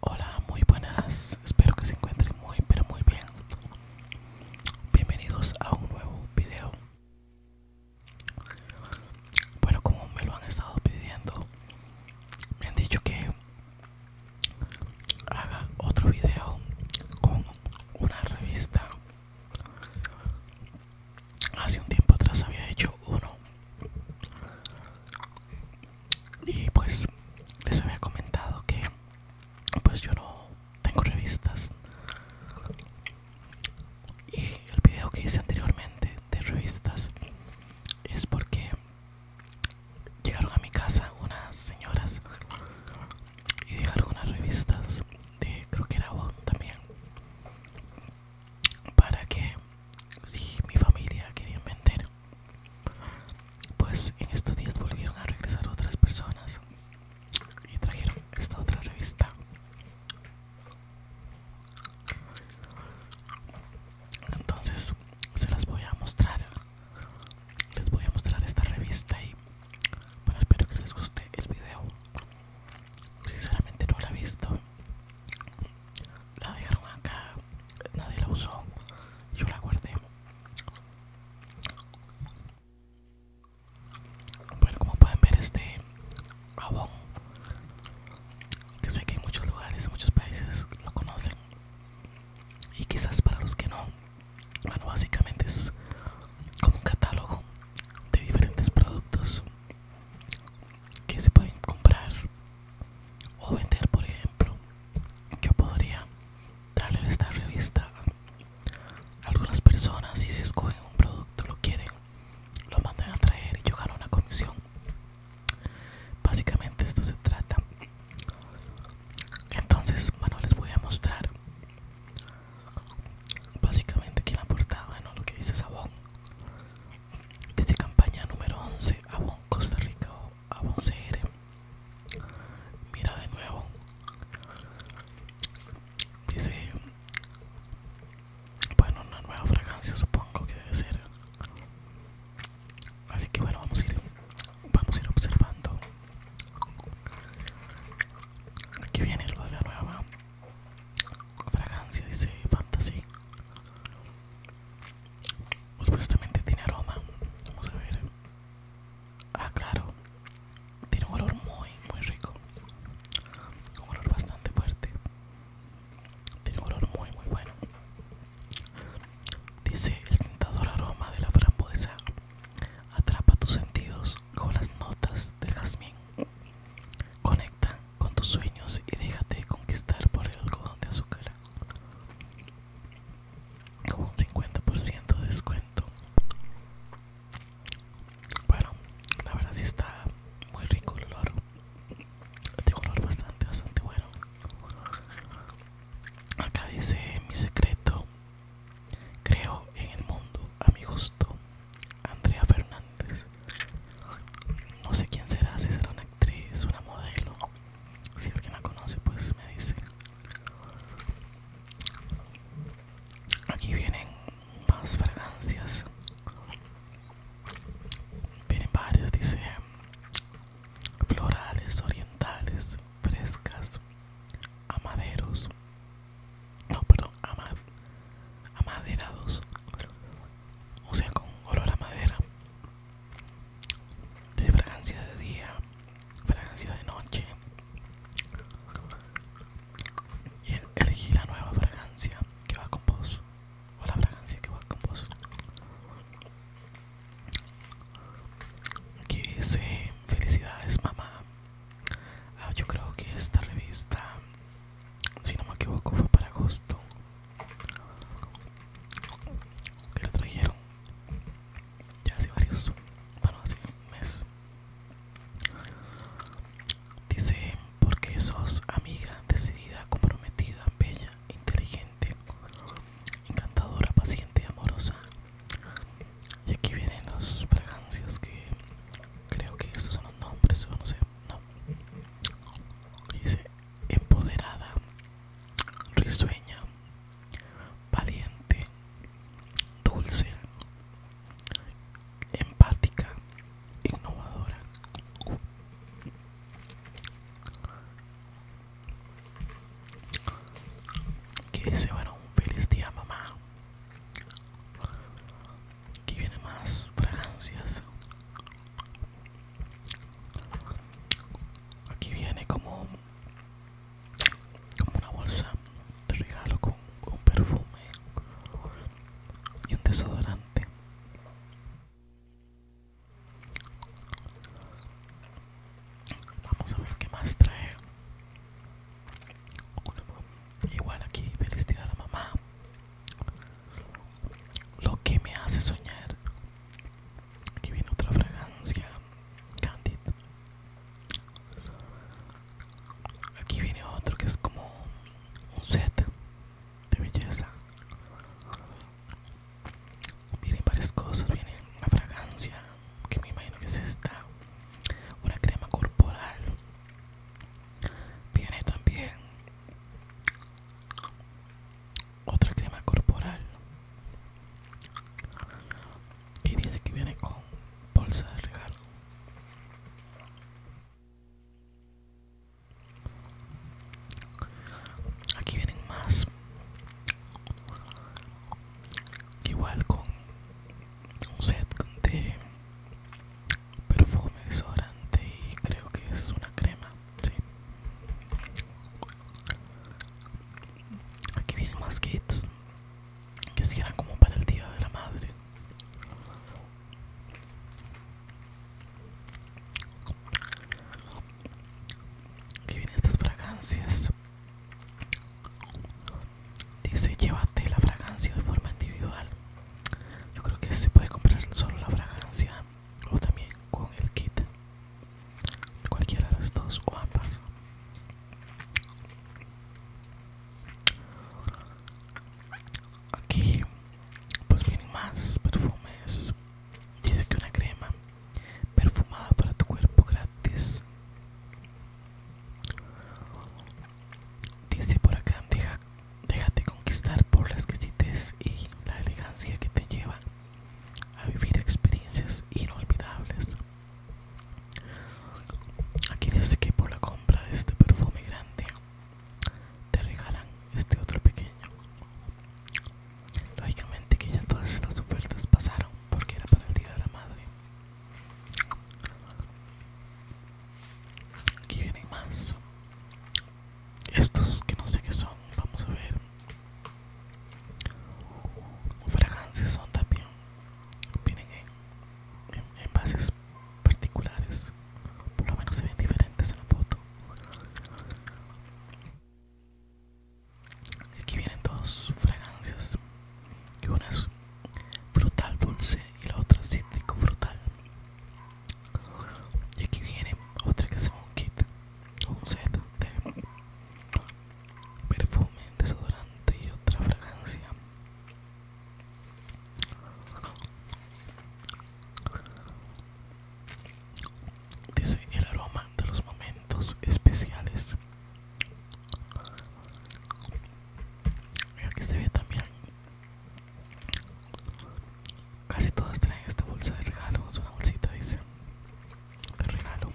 Hola, muy buenas. Espero que se encuentren muy, pero muy bien. Bienvenidos a un nuevo video. Bueno, como me lo han estado pidiendo, me han dicho que haga otro video con una revista Hace un tiempo atrás había hecho uno. Y pues les había comentado que pues yo no tengo revistas. Y el video que hice anteriormente de revistas es porque llegaron a mi casa unas señoras y dejar unas revistas de creo que era también para que si mi familia quería vender pues en estos días volvieron a regresar otras personas y trajeron esta otra revista entonces se las voy a mostrar les voy a mostrar esta revista y bueno espero que les guste el video sinceramente no la he visto la dejaron acá nadie la usó yo la guardé bueno como pueden ver este jabón que sé que en muchos lugares muchos países lo conocen y quizás para los que no bueno, básicamente es como un catálogo de diferentes productos que se pueden comprar o vender, por ejemplo. Yo podría darle esta revista algunas personas y se escogen un producto, lo quieren, lo mandan a traer y yo gano una comisión. Básicamente esto se trata. Entonces, bueno, les voy a mostrar Básicamente aquí en la portada, bueno, lo que dice es Dice campaña número 11, Avon Costa Rica o Avon CR. Mira de nuevo. Dice, bueno, una nueva fragancia supongo que debe ser. Así que bueno, vamos a ir, vamos a ir observando Aquí viene lo de la nueva fragancia, dice Fantasy. Supuestamente tiene aroma. Vamos a ver. Ah, claro. Tiene un olor muy, muy rico. Un olor bastante fuerte. Tiene un olor muy, muy bueno. Dice el tentador aroma de la frambuesa. Atrapa tus sentidos con las notas del jazmín. Conecta con tus sueños y déjate conquistar por el algodón de azúcar. Con un 50% de descuento. Bueno, la verdad si está muy rico el olor. un olor bastante, bastante bueno. Acá dice mi secreto Creo en el mundo a mi gusto. Andrea Fernández. No sé quién será, si será una actriz, una modelo. Si alguien la conoce, pues me dice. Aquí vienen más fragancias. Vienen varias, dice. Florales, orientales, frescas, amaderos, no, perdón, amad, amaderados. O sea, con olor a madera. De fragancia de día, fragancia de noche. Y elegí la nueva fragancia que va con vos. O la fragancia que va con vos. Aquí dice, eh, felicidades mamá, Ah, yo creo que esta revista, si no me equivoco, fue para agosto que la trajeron ya hace varios, bueno, hace un mes. Dice, porque sos amiga, decidida, comprometida, bella, inteligente, encantadora, paciente y amorosa. Y aquí vienen las fragancias que creo que estos son los nombres o no sé, no. dice empoderada, risueña, valiente, dulce, empática, innovadora. Que dice, bueno, un feliz día mamá Aquí viene más fragancias. Aquí viene como, como una bolsa de regalo con perfume y un desodorante. Vamos a ver qué más trae. Igual aquí, Felicidad a la mamá. Lo que me hace soñar. Aquí viene otra fragancia, Candid. Aquí viene otro que es como un set de belleza. Vienen varias cosas, viene una fragancia que me imagino que es esta una crema corporal viene también otra crema corporal y dice que viene con bolsa de regalo aquí vienen más igual con un set de perfume desodorante y creo que es una crema aquí vienen más kits que si eran como para el día de la madre Aquí vienen estas fragancias Dice, llévate la fragancia de forma individual. Yo creo que se puede comprar solo la fragancia o también con el kit. Cualquiera de las dos o ambas. Aquí pues vienen más perfumes. Dice que una crema perfumada para tu cuerpo gratis. Dice por acá, déjate conquistar por la exquisitez y la elegancia que te lleva a vivir experiencias inolvidables. Aquí dice que por la compra de este perfume grande te regalan este otro pequeño. Lógicamente que ya todas estas ofertas pasaron porque era para el Día de la Madre. Aquí vienen más. Estos que no sé qué son. Vamos a ver. Fragancias son también. Vienen en, en, bases particulares. Por lo menos se ven diferentes en la foto. Aquí vienen dos fragancias y una es frutal dulce y la otra cítrico frutal y aquí viene otra que es un kit un set de perfume desodorante y otra fragancia Dice el aroma de los momentos especiales aquí se ve también casi todas traen esta bolsa de regalo es una bolsita dice de regalo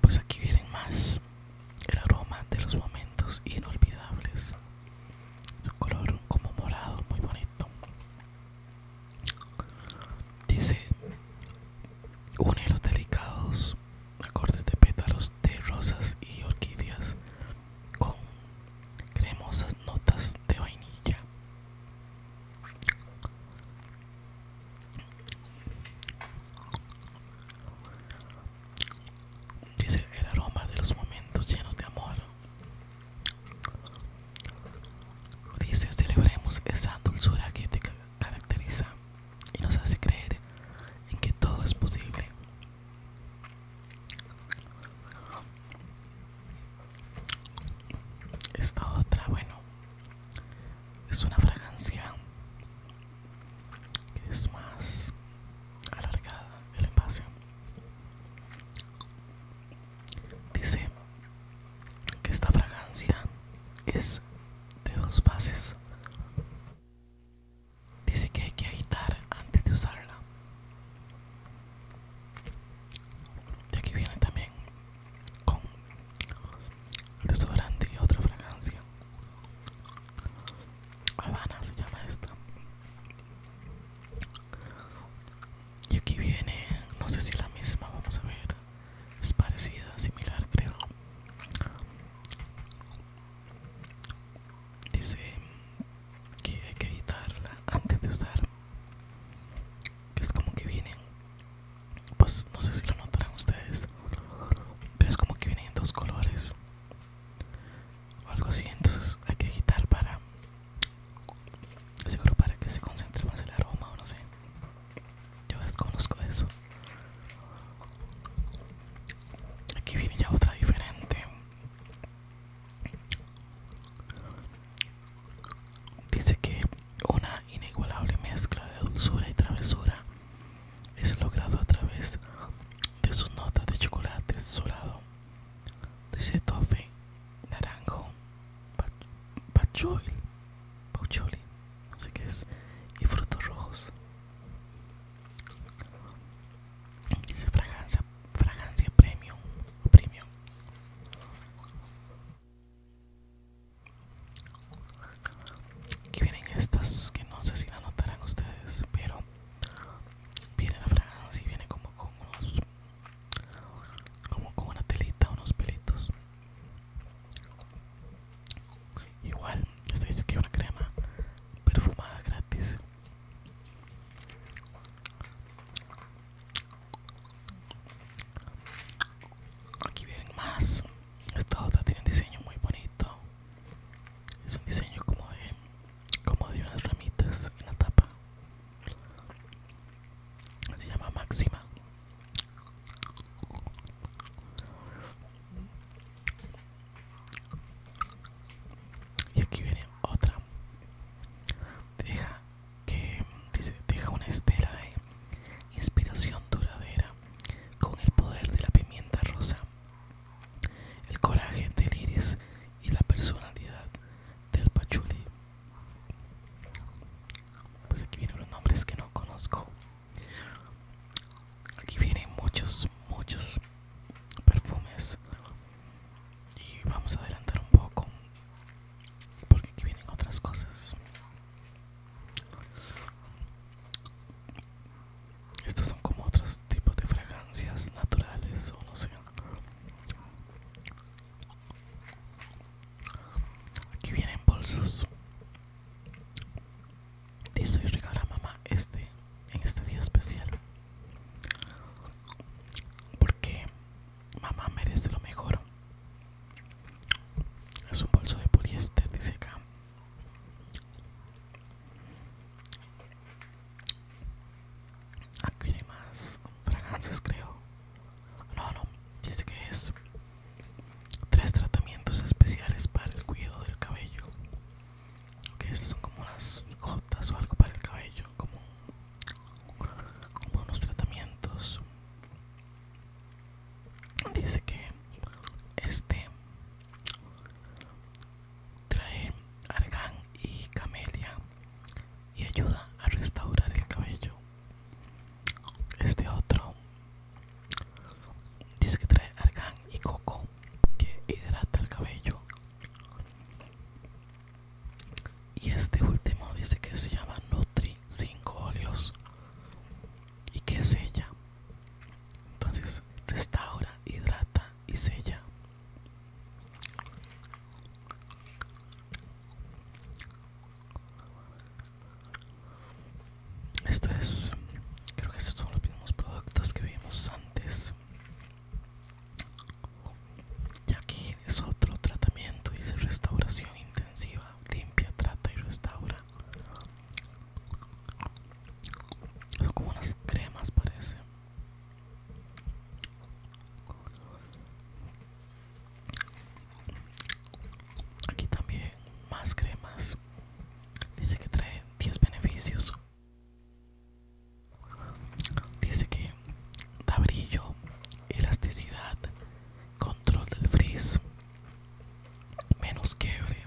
pues aquí vienen más el aroma de los momentos inolvidables un color como morado muy bonito dice Une los delicados acordes de pétalos de rosas y orquídeas con cremosas notas de vainilla. Dice el aroma de los momentos llenos de amor. Dice celebremos esa dulzura que te caracteriza y nos hace creer en que todo es posible. Esta otra, bueno, es una fragancia que es más alargada el envase. Dice que esta fragancia es de dos fases. Dice que hay que agitar antes de usarla. Y aquí viene también con el desodorante y otra fragancia. Habana se llama esta. Y aquí viene, no sé si la misma, vamos a ver es parecida, similar creo. Dice que hay que agitarla antes de usar. Que Es como que vienen, pues no sé si lo notarán ustedes, pero es como que vienen en dos colores o algo así. Entonces hay que agitar para, seguro para que se concentre más el aroma o no sé. Yo desconozco eso. Aquí viene ya otra diferente. Dice que una inigualable mezcla de dulzura y travesura es logrado a través de sus notas de chocolate solado. De toffee, naranjo, pachoil, pacholi, así que es, y frutos rojos. Dice fragancia, fragancia premium premium. Aquí vienen estas que no sé si la notarán ustedes, pero viene la fragancia y viene como con unos, como con una telita, unos pelitos. Igual, esta dice que es una crema perfumada gratis. Aquí vienen más. Esta otra tiene un diseño muy bonito. Es un diseño como de, como de unas ramitas en la tapa. Se llama Máxima. Y aquí viene otra. Deja que deja una estela de inspiración duradera con el poder de la pimienta rosa, el coraje del iris y la personalidad del pachuli. Pues aquí vienen los nombres que no conozco. Aquí vienen muchos, muchos perfumes. Y vamos a adelantar un poco. Porque aquí vienen otras cosas. Estos son como otros tipos de fragancias naturales o no sé. Aquí vienen bolsos. Dice y regala mamá este en este día especial. Porque mamá merece lo mejor. Es un bolso de poliéster, dice acá. Aquí hay más fragancias, creo. No, no, dice que es tres tratamientos especiales para el cuidado del cabello que son como unas gotas o algo para el cabello como, como unos tratamientos dice que este trae argán y camelia y ayuda a restaurar el cabello este otro Dice que trae argán y coco que hidrata el cabello. Y este último dice que se llama Nutri 5 óleos y que sella. Entonces restaura, hidrata y sella. Esto es, creo que estos son los mismos productos que vimos antes. Y aquí es otro tratamiento, dice restauración intensiva, limpia, trata y restaura. Son como unas cremas parece. Aquí también más cremas. Dice que trae 10 beneficios. Dice que da brillo, elasticidad, control del frizz, menos quiebre,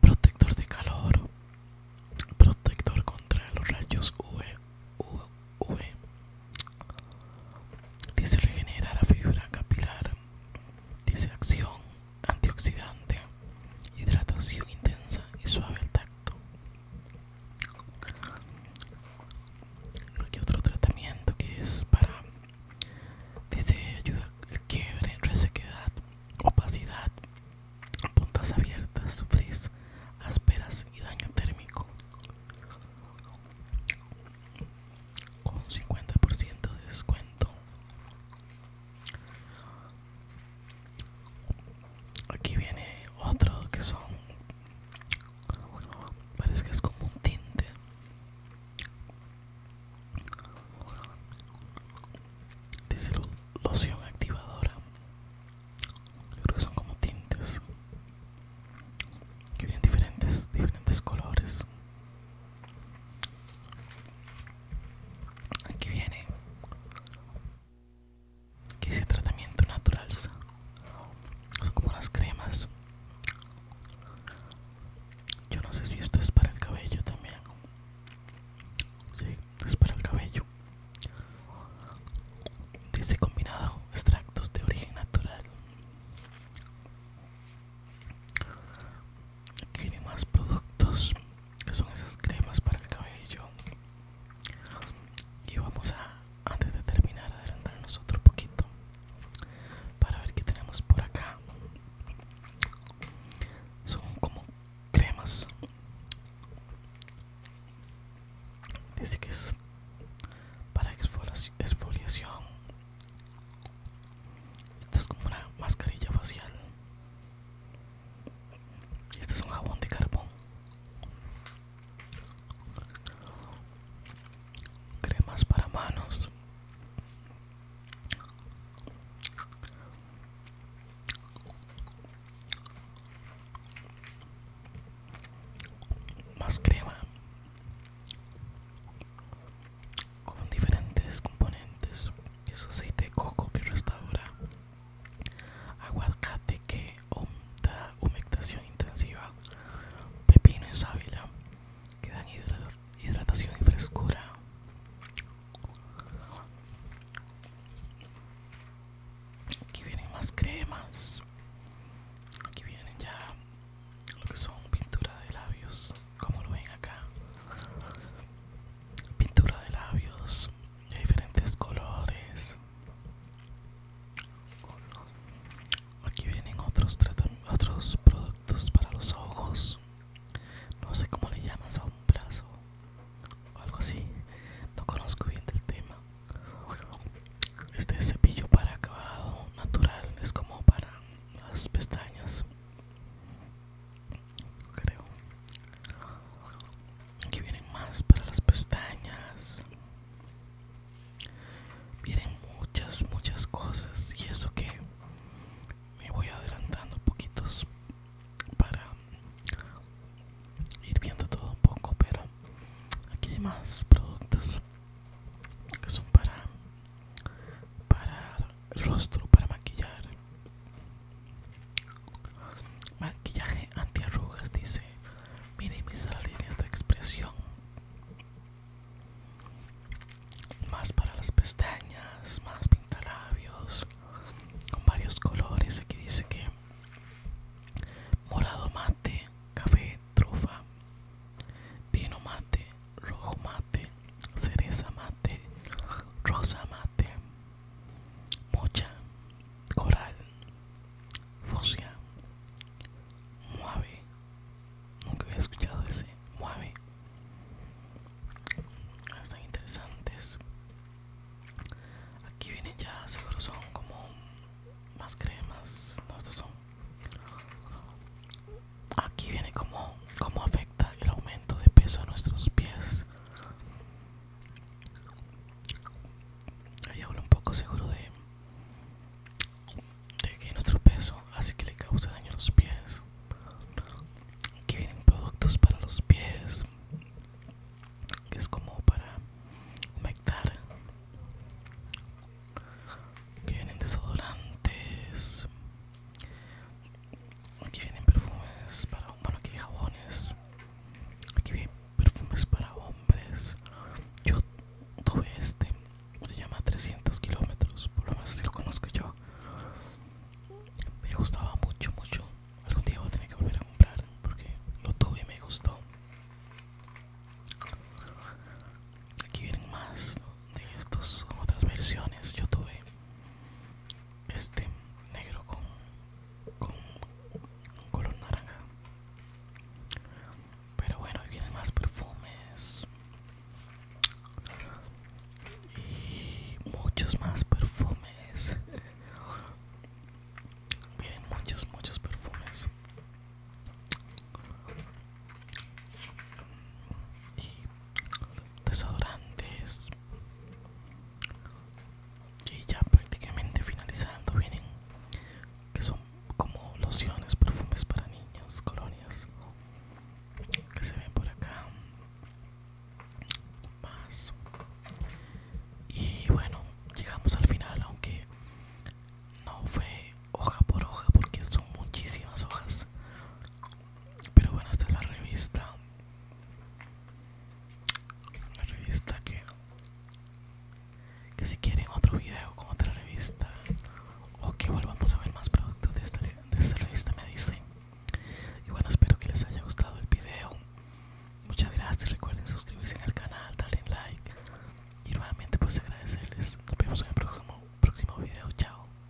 protector de calor, protector contra los rayos UV. E, UV. E, e. Dice regenerar la fibra capilar. Dice acción antioxidante, hidratación intensa y suave al tacto. Aquí otro tratamiento que es para, dice, ayuda el quiebre, resequedad, opacidad, puntas abiertas, frizz, ásperas y daño térmico. Con 50% de descuento Aquí viene otro que son. Parece que es como un tinte. Dice loción activadora. Yo creo que son como tintes. Que vienen diferentes, diferentes colores. Aquí viene. Que ese tratamiento natural son como las cremas. Yo no sé si esto es para el cabello también. Sí, es para el cabello. Dice combinado extractos de origen natural hay más productos que son esas cremas para el cabello y vamos a antes de terminar adelantarnos otro poquito para ver qué tenemos por acá son como cremas dice que es para exfoliación esto es como una mascarilla facial. Y esto es un jabón de carbón. Cremas para manos. Más crema con diferentes componentes es aceite de coco que restaura aguacate que da humectación intensiva pepino y sábila que dan hidratación y frescura aquí vienen más cremas aquí vienen ya lo que son pintura de labios como lo ven acá pintura de labios de diferentes colores aquí vienen otros otros productos para los ojos no sé cómo le llaman brazo o algo así no conozco bien del tema este cepillo para acabado natural es como para las pestañas creo aquí vienen más para las pestañas vienen muchas muchas cosas y eso que me voy adelantando poquitos para ir viendo todo un poco pero aquí hay más productos que son para para rostro, para maquillar. Maquillaje antiarrugas dice minimiza las líneas de expresión. Más para las pestañas, más pintalabios con varios colores. Aquí dice que morado mate, café, trufa, vino mate, rojo mate, cereza mate, rosa mate, mocha, coral, fucsia, muave, nunca había escuchado ese muave. Están interesantes. Aquí vienen ya, seguro son como más cremas. No, estos son aquí viene como como afecta el aumento de peso a nuestros pies. Ahí hablo un poco seguro de, de que nuestro peso hace que le causa daño a los pies. Aquí vienen productos para los pies, que es como para humectar. que vienen desodorantes, Aquí vienen perfumes para bueno aquí hay jabones. Aquí vienen perfumes para hombres. Yo tuve este, se llama 300 kilómetros, por lo menos si lo conozco yo. Me gustaba mucho, mucho. Algún día voy a tener que volver a comprar porque lo tuve y me gustó. Aquí vienen más de estos, otras versiones. Yo tuve este negro con, con un color naranja pero bueno vienen más perfumes y muchos más perfumes vienen muchos muchos perfumes desodorantes y ya prácticamente finalizando vienen que son como lociones perfumes para niñas colonias que se ven por acá más y bueno llegamos al final aunque no fue hoja por hoja porque son muchísimas hojas pero bueno, esta es la revista. La revista que. Que si quieren otro video con otra revista. O que volvamos a ver más productos de esta, revista, me dicen. Y bueno, espero que les haya gustado el video. Muchas gracias. Recuerden suscribirse al canal, darle like. Y nuevamente, pues agradecerles. Nos vemos en el próximo, próximo video. Chao.